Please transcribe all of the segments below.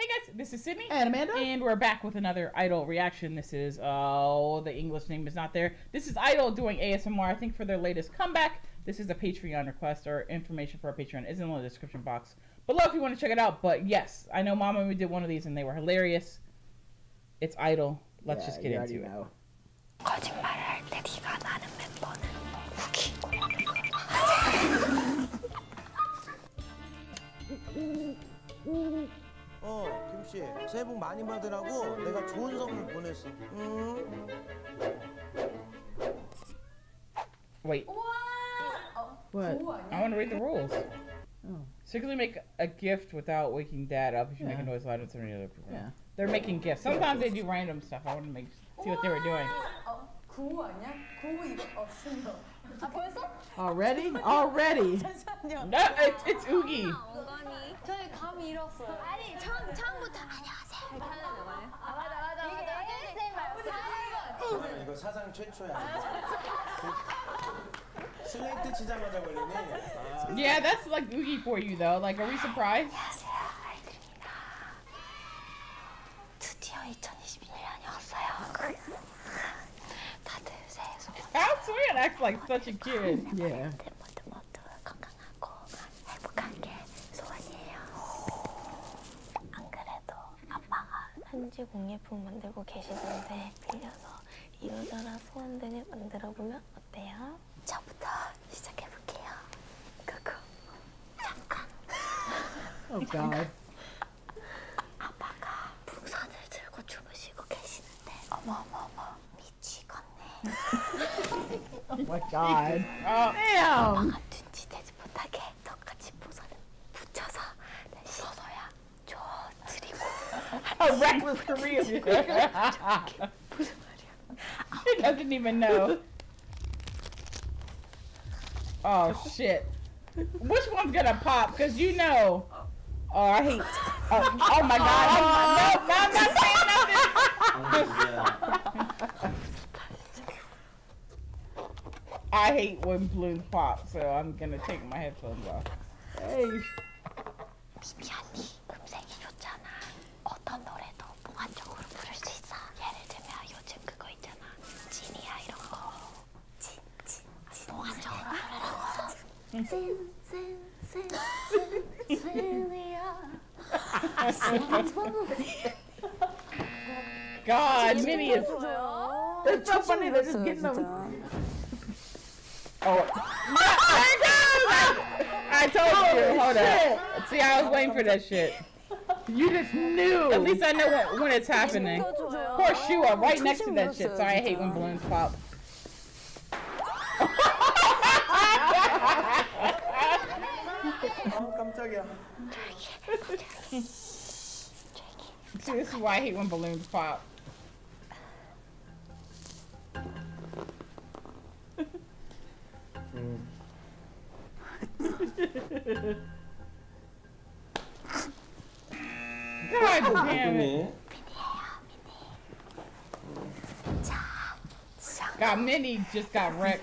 Hey guys, this is Sydney and Amanda, and we're back with another Idol reaction. This is oh, the English name is not there. This is Idol doing ASMR. I think for their latest comeback. This is a Patreon request. or information for our Patreon is in the description box. Below if you want to check it out. But yes, I know Mom and we did one of these and they were hilarious. It's idle. Let's just get into it. Wait. What? I want to read the rules. Oh. Secretly make a gift without waking dad up if you make a noise louder than any other people. Yeah. They're making gifts. Sometimes they do random stuff. I want to see what they were doing. Already? Already? no, it's, it's Oogie. 슬랩 쳐야 Yeah, that's like Oogie for you though. Like, are we surprised? 드디어 2021년이 왔어요. 다들 새해 소. That's weird. Acts like such a kid. Yeah. 때도 아빠가 한지 공예품 만들고 계시던데 빌려서 이러저러 소원들을 만들어보면 어때요? 저부터 시작해볼게요. 그거 잠깐. Oh 어, God. 그 아빠가 풍선을 들고 주무시고 계시는데 어머 어머 어머 미치겠네. Oh my God. 아빠가 눈치채지 못하게 같이 보사는 A wreck with Korea. doesn't even know. Oh shit. Which one's gonna pop? Cause you know. Oh, I hate. Oh, oh my god. no, I'm not saying nothing. I hate when balloons pop, so I'm gonna take my headphones off. Hey. 미안해. 음색이 좋잖아. 어떤 노래도 몽환적으로 부를 수 있어. 예를 들면 요즘 그거 있잖아. 진이야 이런 거. 진, 진, 진. 몽환적으로 부르라고. 음. 진, 진, 진, 진, 진이야. 아, God, minions. They're so funny, they just getting them. Oh. I told you, hold on. See, I was waiting for that shit. You just knew. At least I know when, it's happening. Of course you are right next to that shit. Sorry, I hate when balloons pop. I'll come tell See, this is why I hate when balloons pop. God damn it. God, Minnie just got wrecked.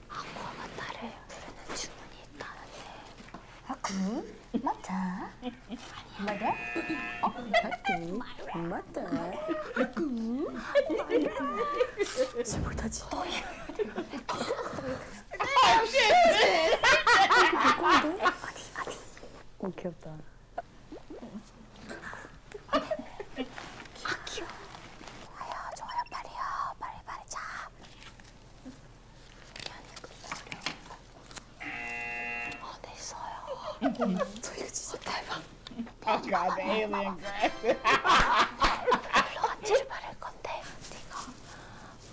한국은 나를 부르는 주문이 있다는데 하쿠? 아, 그? 맞아? 아니야 맞아? 어? 하쿠? 맞다 하쿠? 잘 못하지? 역시! 어디 어디? 오 귀엽다 아 귀여워. 좋아요, 좋아요, 빨리요, 빨리 빨리 자. 어, 됐어요. 저 이거 진짜 대박. Oh god, the alien graphic. 런치를 바를 건데 네가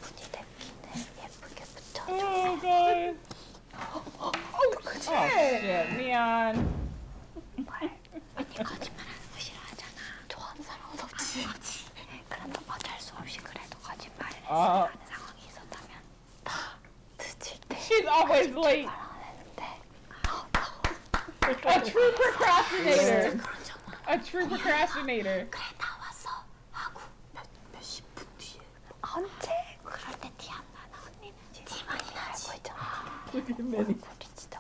무늬 냅킨을 예쁘게 붙여줘. Oh god. Oh shit, Neon. 근데 거짓말하는 거 싫어하잖아. 좋아하는 사람은 없지. 아, 그래도 어쩔 수 없이 그래도 거짓말을 아. 하는 상황이 있었다면 다 늦을 때 She's always late. A true procrastinator. 네, A true procrastinator. 그래 다 왔어 하고 몇몇십분 뒤에 언제? 그럴 때티안 나나 언니는 티만 나고 있잖아. 아, 우리 진짜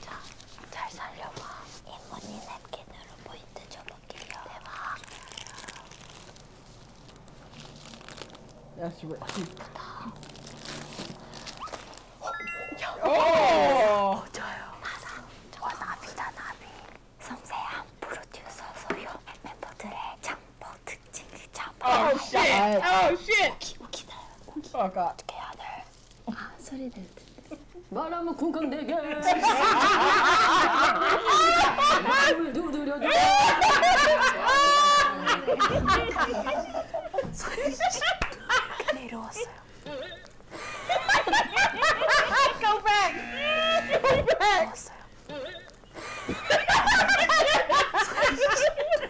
자, 잘 살려봐. 이모니 냅킨으로 포인트 줘볼게요. 대박. 야, 씨, 왜. 예쁘다. 어, 저요. 어, 맞아. 저거 나비다, 나비. 섬세한 프로듀서 소유 멤버들의 장법 특징을 잡아. 아, 씨. 아, 씨. 오기, 오기다. 오기. 아까. 어떻게 해야 돼? 아, 소리 될 텐데. 말하면 쿵쾅 대게 입을 두드려 줘. 소윤 씨 내려왔어요. Go back. Go back. 내려왔어요. 소윤 씨.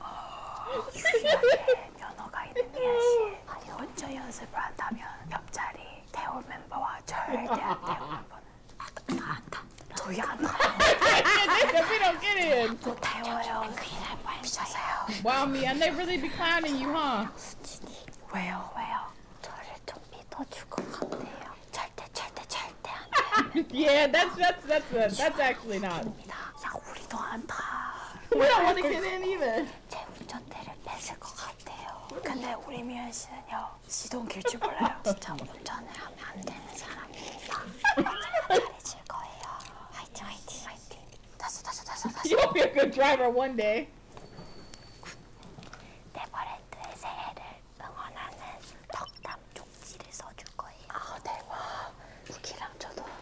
어, 유일하게 면허가 있는 미아씨 혼자 연습을 한다면 옆자리 태호 멤버와 절대 아, 안 태호 멤버는 안다 저희 안다 못 태워요 큰일 날 뻔했어요 Wow, me, and they really be clowning you, huh? 수진이 왜요, 왜요? 저를 좀 믿어줄 것 같네요 절대, 절대, 절대 안 돼요 Yeah, that's, that's, that's, that's actually not 입니다 야 우리도 안다 뭐야 어디 걔네는 제 운전대를 뺏을 것 같아요 근데 우리 미연 씨는요 시동 길줄 몰라요 진짜 운전을 하면 안 되는 사람입니다 잘해줄 거예요 화이팅 화이팅 화이팅 다시 다시 다시 다시 You'll be a good driver one day 네버랜드의 새해를 응원하는 덕담 쪽지를 써줄 거예요 아 대박 쿠키랑 저도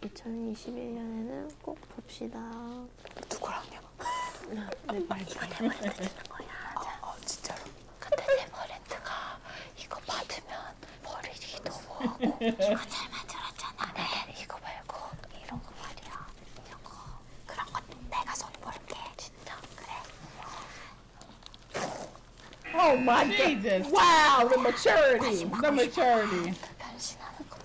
그래서 2021년에는 꼭 봅시다. 누구랑요? 내 말이가 내 머리가 되는 거야. 자. 어, 어, 진짜로? 근데 네버랜드가 이거 받으면 버리기 너무하고 이거 잘 만들었잖아. 네, 이거 말고 이런 거 말이야. 이거 그런 거 내가 손 볼게. 진짜? 그래. Oh my Jesus! Wow, the maturity, the maturity. 변신하는 거.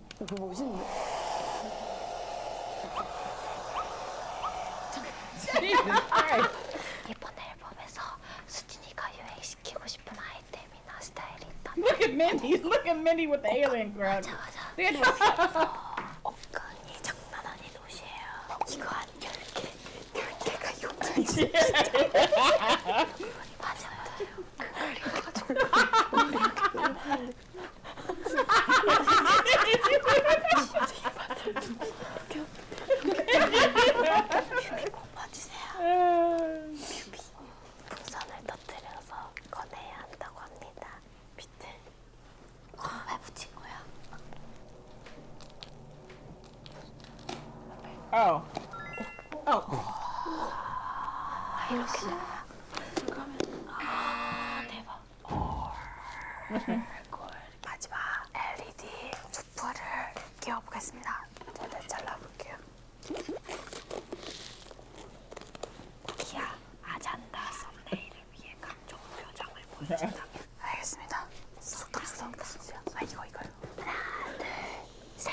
어, 그거 멋있는데? 이번 앨범에서 수진이가 유행시키고 싶은 아이템이나 스타일이 있다. Look at Minnie! Look at Minnie with the alien crowd! 어, 맞아 맞아. 옷끈이 어, 장난 아닌 옷이에요. 이거 한 10개, 10개가 용전지. 맞아요. 그걸 가지고 뮤비꼭 봐주세요. 뮤비 풍선을 터뜨려서 꺼내야 한다고 합니다. 비틀 어, 왜 붙인 거야? 아우. 아우. 아, 이렇게 잠깐만. 아 대박. 얼굴 마지막 LED 수프를 끼워보겠습니다. 제대 잘라볼게요. 기아 아잔다 썸네일을 위해 각종 표정을 보여준다. 알겠습니다. 수덕수덕 보세요. 아 이거 이거요. 하나 둘 셋.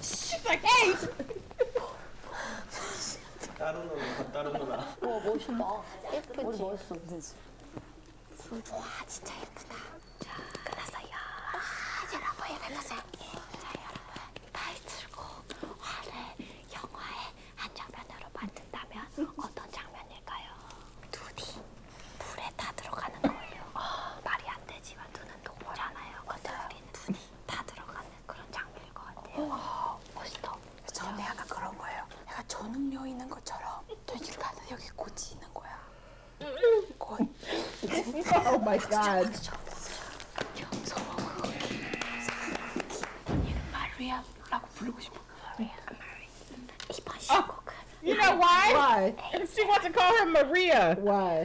씨발 에이 따로 놀아 따로 놀아 와 멋있다 예쁘지? 머리 멋있어 그지? 와 진짜 예쁘다 자 끝났어요 와 아, 여러분 끝났어요 예, 자 여러분 타이틀곡 화를 영화의 한 장면으로 만든다면 어떤 장면일까요? 눈이 물에 다 들어가는 거예요 아, 말이 안 되지만 눈은 동물잖아요 근데 우린 눈이 다 들어가는 그런 장면일 것 같아요. 오, 멋있다. 저는 약간 그런 거예요. 약간 전능력 있는 것처럼 되길 가는 여기 고지 있는 거야. 곧. 오 마이 갓. 경서로 그렇게. 마리아라고 부르고 싶어. 마리아. 마리아. 이번 신곡은. You know why? Why? 아, She wants to call her Maria. Why?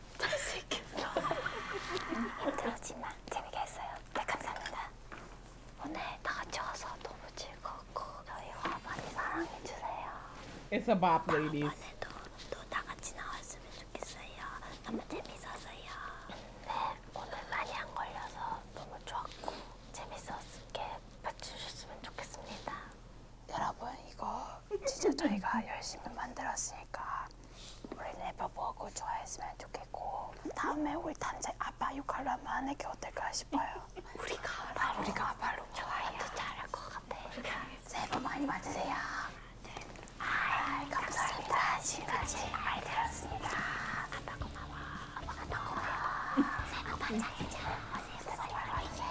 잘생겼어. 힘들었지만 재미게 했어요. 네, 감사합니다. 오늘 다 같이 와서 너무 즐겁고 저희와 많이 사랑해주세요. It's a bop, ladies. 또다 같이 나왔으면 좋겠어요. 너무 재밌었어요. 네, 오늘 많이 안 걸려서 너무 좋았고 재밌었게 봐주셨으면 좋겠습니다. 여러분 이거 진짜 저희가 열심히 만들었으니까 우리 네버 보고 좋아했으면 좋겠고 다음에 우리 단체 아빠 역할로 한번 하는 게 어떨까 싶어요. 우리가 아, 우리가 아빠로 좋아요. 잘할 것 같아. 새해 복 많이 받으세요. 아, 감사합니다. 지금까지 아이들었습니다. 아빠 고마워. 아빠 고마워. 새해 복 많이 받으세요. 네. 새해 복 많이 받으세요.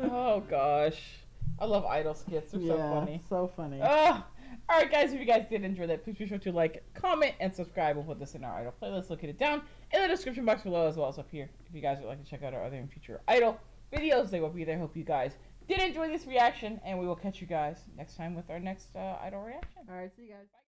oh gosh. I love idol skits. They're so funny. So funny. Ah. All right, guys. If you guys did enjoy that, please be sure to like, comment, and subscribe. We'll put this in our idol playlist. Look it down in the description box below, as well as up here. If you guys would like to check out our other future idol videos, they will be there. Hope you guys did enjoy this reaction, and we will catch you guys next time with our next uh, idol reaction. All right. See you guys. Bye.